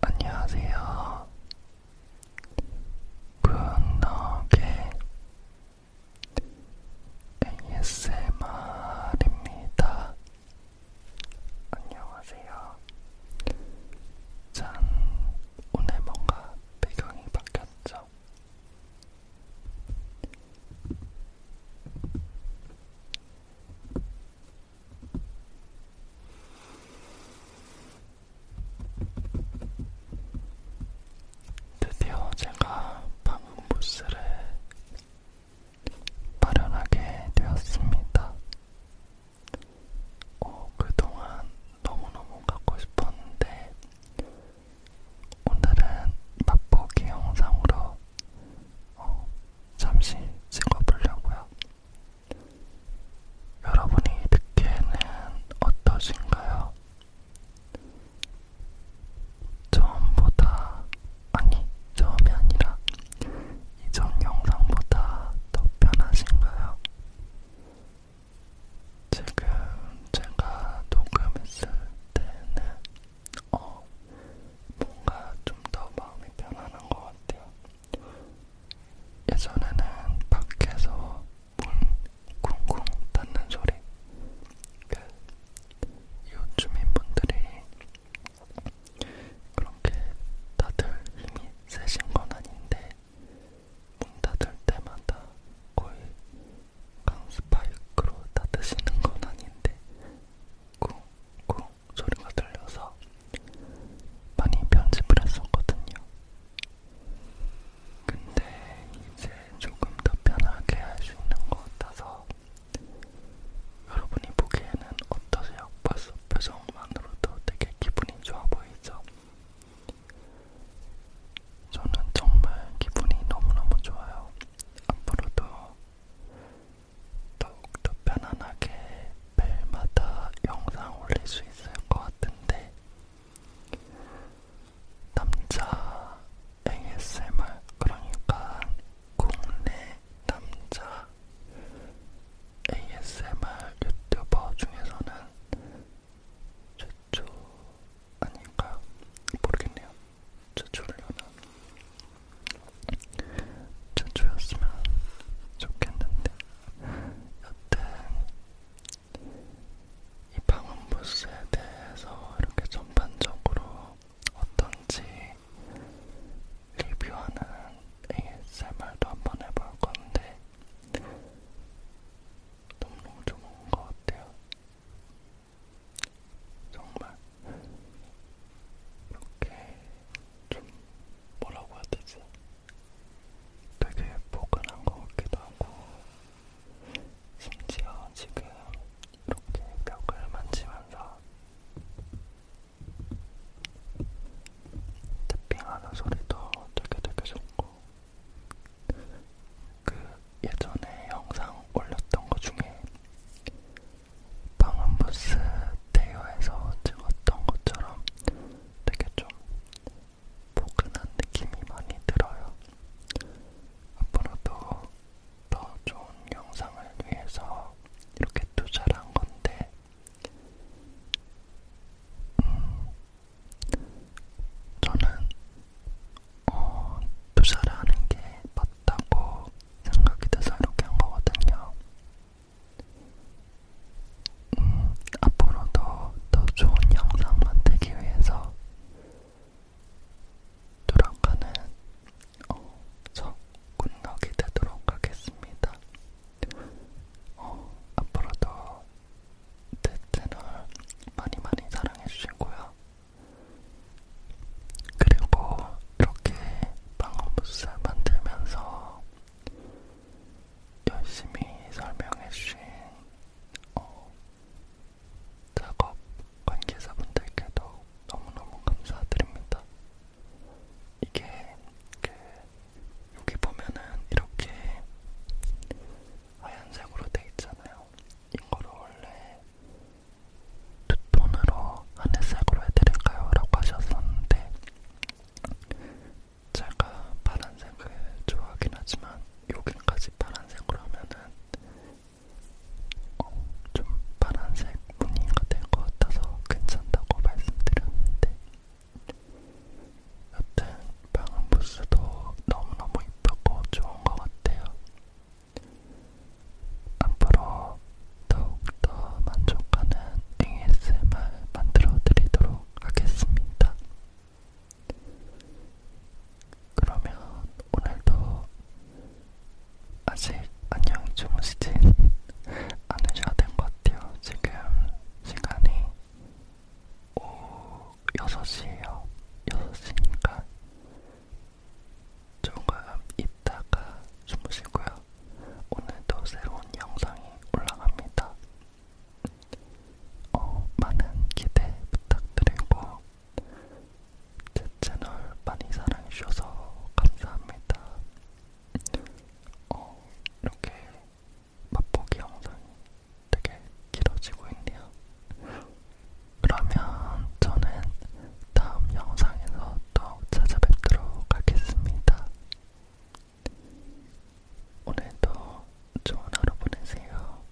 안녕하세요. 분노의 ASMR입니다. 안녕하세요. 짠, 오늘 뭔가 배경이 바뀌었죠? 드디어 제가 방음 부스를 마련하게 되었습니다. 어, 그동안 너무너무 갖고 싶었는데 오늘은 맛보기 영상으로 어, 잠시 찍어보려고요. 여러분이 듣기에는 어떠신가요? 처음보다, 아니, 처음이 아니라 이전 영상보다 더 편하신가요? 지금 제가 녹음했을 때는 어, 뭔가 좀 더 마음이 편안한 것 같아요. 예전에는 밖에서 문 쿵쿵 닫는 소리. 그 요주민분들이 그렇게 다들 힘이 세신 건 아닌데 문 닫을 때마다 거의 강스파이크로 닫으시는 건 아닌데 쿵쿵 소리가 들려서 많이 편집을 했었거든요. 근데 이제 조금 더 편하게 할 수 있는 것 같아서 여러분이 보기에는 어떠세요? 벌써 표정만으로도 되게 기분이 좋아 보이죠? 저는 정말 기분이 너무너무 좋아요. 앞으로도 더욱더 편안하게 매일마다 영상 올릴 수 있을 것 같은데 남자 ASMR 그러니까 국내 남자 ASMR 유튜버 중에서는 최초 아닌가 모르겠네요. 최초를려나 최초였으면 좋겠는데 여튼 이 방음부스에 대해서 이렇게 전반적으로 어떤지 리뷰하는 ASMR도 한번 해볼 건데 너무 좋은 것 같아요. 정말 이렇게 좀 뭐라고 해야 되지? 되게 포근한 것 같기도 하고 심지어 지금 이렇게 벽을 만지면서 태핑하는 소리도 되게 되게 좋고 그 예전에 영상 올렸던 것 중에 방음부스 대여에서 찍었던 것처럼 되게 좀 포근한 느낌이 많이 들어요. 앞으로도 더 좋은 영상을 위해서 이렇게 투자를 한 건데 저는 어, 투자를 하는 게 맞다고 생각이 돼서 이렇게 한 거거든요. 음, 앞으로도 더 좋은 영상 만들기 위해서 노력하는 어, 저 군락이 되도록 하겠습니다. 어, 앞으로도 제 채널 많이 많이 사랑해주시고요. 그리고 이렇게 방음부스 만들면서 열심히 설명해주신 어, 작업 관계자분들께도 너무너무 감사드립니다. 이게 그 여기 보면은 이렇게 하얀색으로 돼 있잖아요. 이거를 원래 두톤으로 하늘색으로 해드릴까요? 라고 하셨었는데 제가 파란색을 좋아하긴 하지만 여기까지 파란색으로 하면은 어, 좀 파란색 문의가 될 것 같아서 괜찮다고 말씀드렸는데 여튼 방음 부스도 너무너무 이쁘고 좋은 것 같아요. 앞으로 더욱더 만족하는 ASMR 만들어 드리도록 하겠습니다. 그러면 오늘도 아직 안녕 주무시진 않으셔야 된것 같아요. 지금 시간이 오후 6시에요. 6시니까 조금 있다가 주무시고요. 오늘도 새로운 영상이 올라갑니다. 어, 많은 기대 부탁드리고 제 채널 많이 사랑해주셔서 감사합니다. 어, 이렇게 맛보기 영상이 되게 길어지고 있네요. 그러면 저는 다음 영상에서 또 찾아뵙도록 하겠습니다. 오늘도 좋은 하루 보내세요.